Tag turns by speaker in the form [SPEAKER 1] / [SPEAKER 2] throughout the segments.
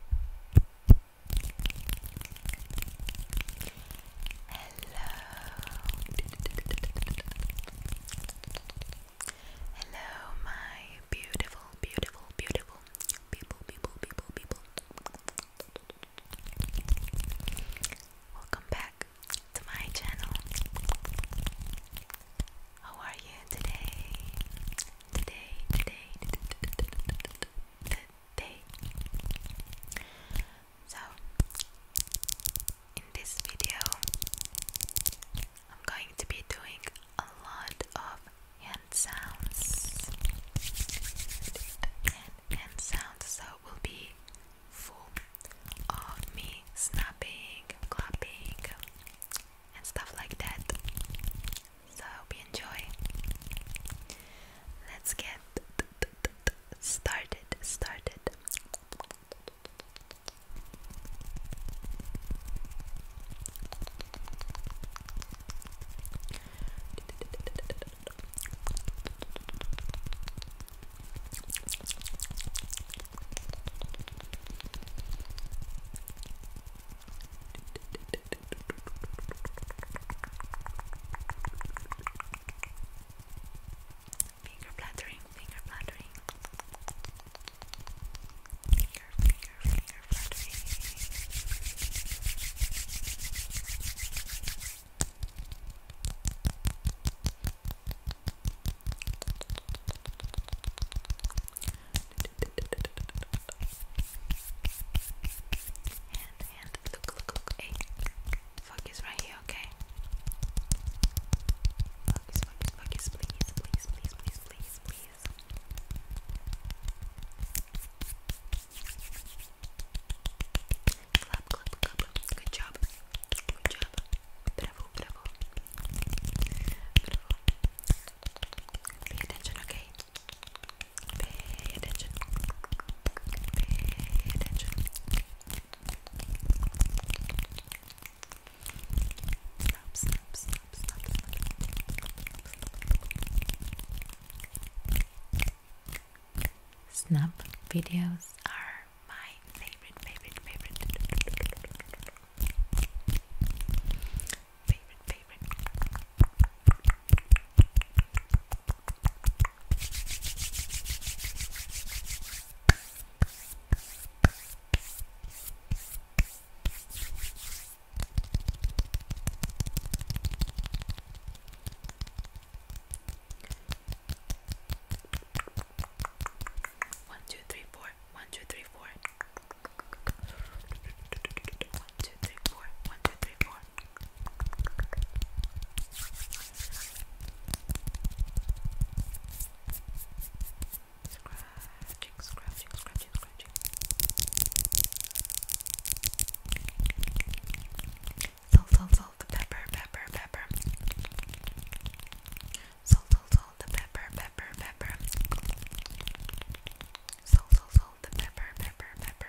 [SPEAKER 1] Hello. Hello, my beautiful, beautiful, beautiful people, people, people, people. Welcome back to my channel. How are you today? today, today, today. So, in this video, I'm going to be doing a lot of hand sounds. And hand sounds, so it will be full of me snapping, clapping, and stuff like that. So I hope you enjoy. Let's get started. Started. Finger flattering, finger flattering. Finger, finger, finger flattering and look, look, look, hey, focus right here, okay? Focus, focus, focus, please, please, please, please, please, please. Clap, clap, clap, good job, good job, bravo, bravo. Pay attention, okay? Snap videos are my favorite, favorite, favorite favorite, favorite. One, two, three, four. One, two, three, four. One, two, three, four. One, two, three, four. Scratching, scratching, scratching, scratching. Salt, salt, salt, pepper, pepper, pepper. Salt, salt, salt, pepper, pepper pepper, pepper. Salt, salt, salt, the pepper, pepper, pepper.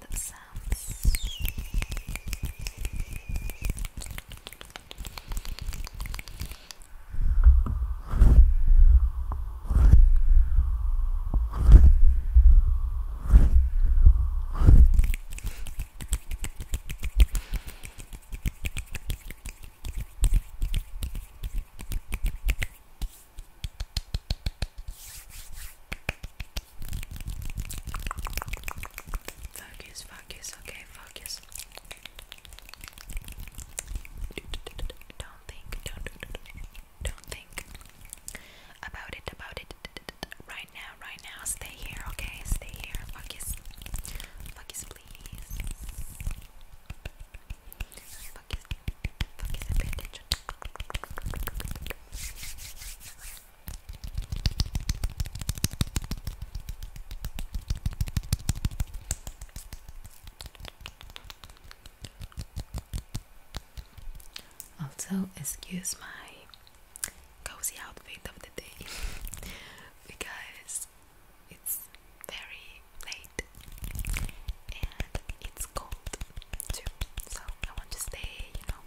[SPEAKER 1] the sounds. Good. Focus, focus, okay, focus. Don't think, don't, don't think about it, about it. Right now, right now, stay here, okay? Stay here, focus. Focus, please. Focus, focus, pay attention. Also, excuse my cozy outfit of the day because it's very late and it's cold too. So, I want to stay, you know,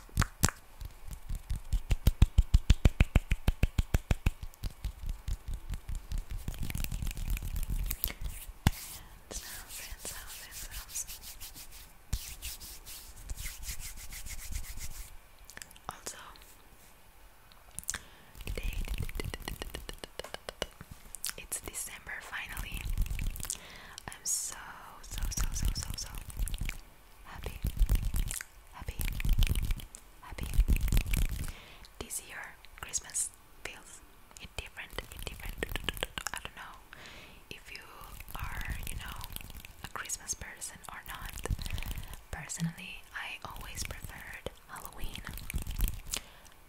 [SPEAKER 1] sounds, hand sounds, hand sounds. Also, it's December finally. I'm so, so, so, so, so, so happy, happy, happy. This year, Christmas feels it different, it different. I don't know if you are, you know, a Christmas person or not. Personally, I always preferred Halloween,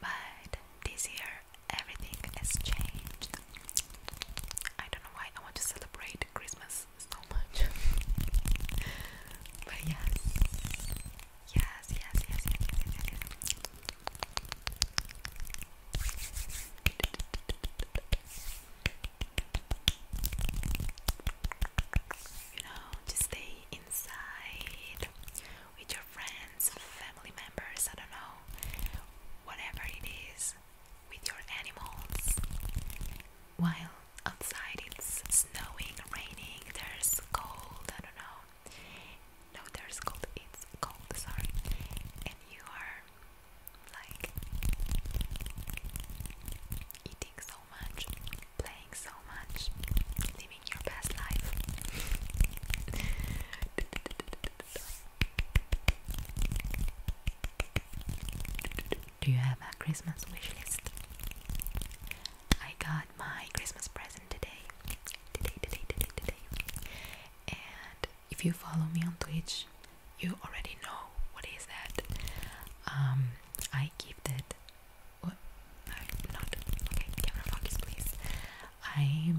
[SPEAKER 1] but this year everything has changed. I don't know why I want to celebrate Christmas so much. but yes. Yes, yes, yes, yes, yes, yes, You know, to stay inside with your friends, family members, I don't know whatever it is with your animals. While outside it's snowing, raining, there's cold, I don't know. No, there's cold, it's cold, sorry. And you are like eating so much, playing so much, living your best life. Do you have a Christmas wish list? I got my Christmas present today. Today, today, today, today. And if you follow me on Twitch, you already know what is that. Um, I gifted. What? Oh, i not. Okay, camera focus, please. I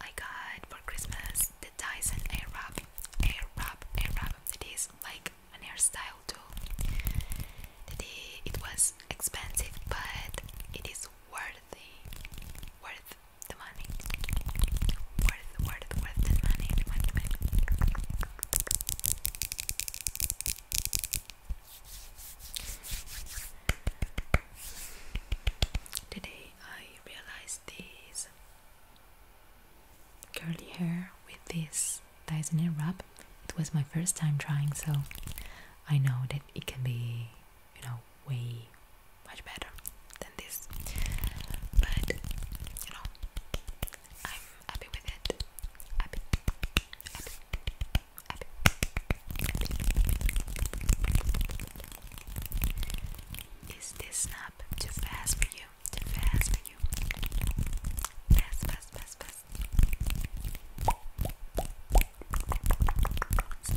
[SPEAKER 1] I got for Christmas the Dyson air air wrap, Airwrap, Airwrap, Airwrap. It is like an hairstyle Today It was expensive, but it is worthy, worth the money, worth, worth, worth the money, money, money. Today I realized this curly hair with this Dyson wrap. It was my first time trying, so I know that it can be, you know, way much better than this. But you know, I'm happy with it. Is this snap too fast for you? Too fast for you? Fast, Snap snap Snap snap Snap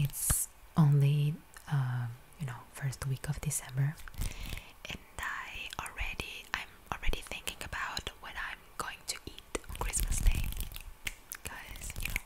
[SPEAKER 1] It's only uh, you know first week of December, and I already I'm already thinking about what I'm going to eat on Christmas Day, because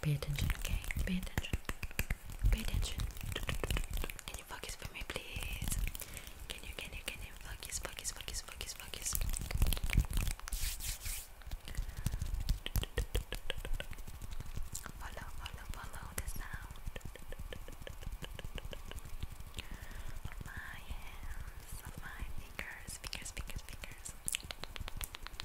[SPEAKER 1] Pay attention, okay? Pay attention. Pay attention. Can you focus for me, please? Can you, can you, can you focus, focus, focus, focus, focus? Follow, follow, follow the sound my hands, my fingers, fingers, fingers, fingers.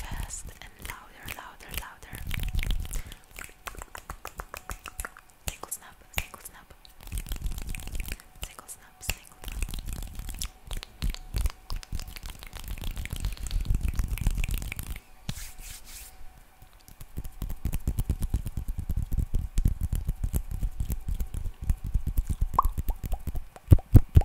[SPEAKER 1] Fast and louder, louder, louder. Tinkle snap, tinkle snap. Tinkle snap, tinkle snap.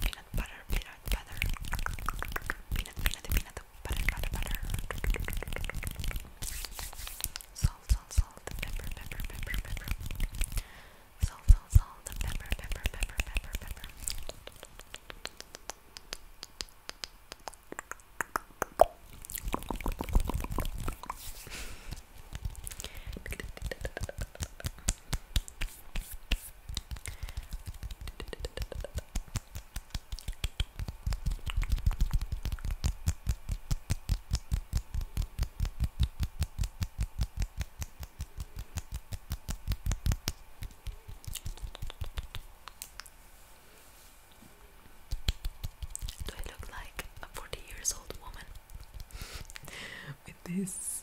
[SPEAKER 1] peanut butter, peanut butter, peanut, peanut, peanut butter, butter, butter, salt, salt, salt, pepper, pepper, pepper, pepper, salt, salt, salt, pepper, pepper, pepper, pepper, pepper. Do I look like a 40 years old woman with this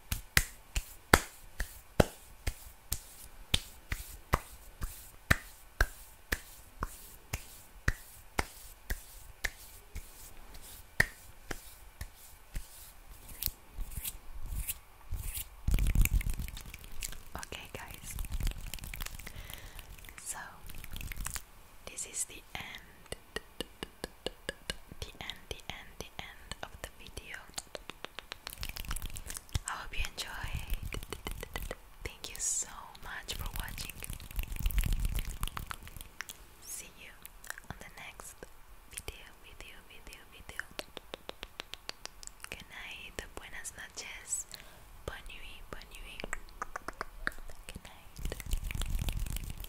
[SPEAKER 1] Okay, guys, so this is the end the end, the end, the end of the video. I hope you enjoyed. Thank you so much for watching. See you on the next video, video, video, video. Good night, noches, bonne nuit, bonne nuit. Good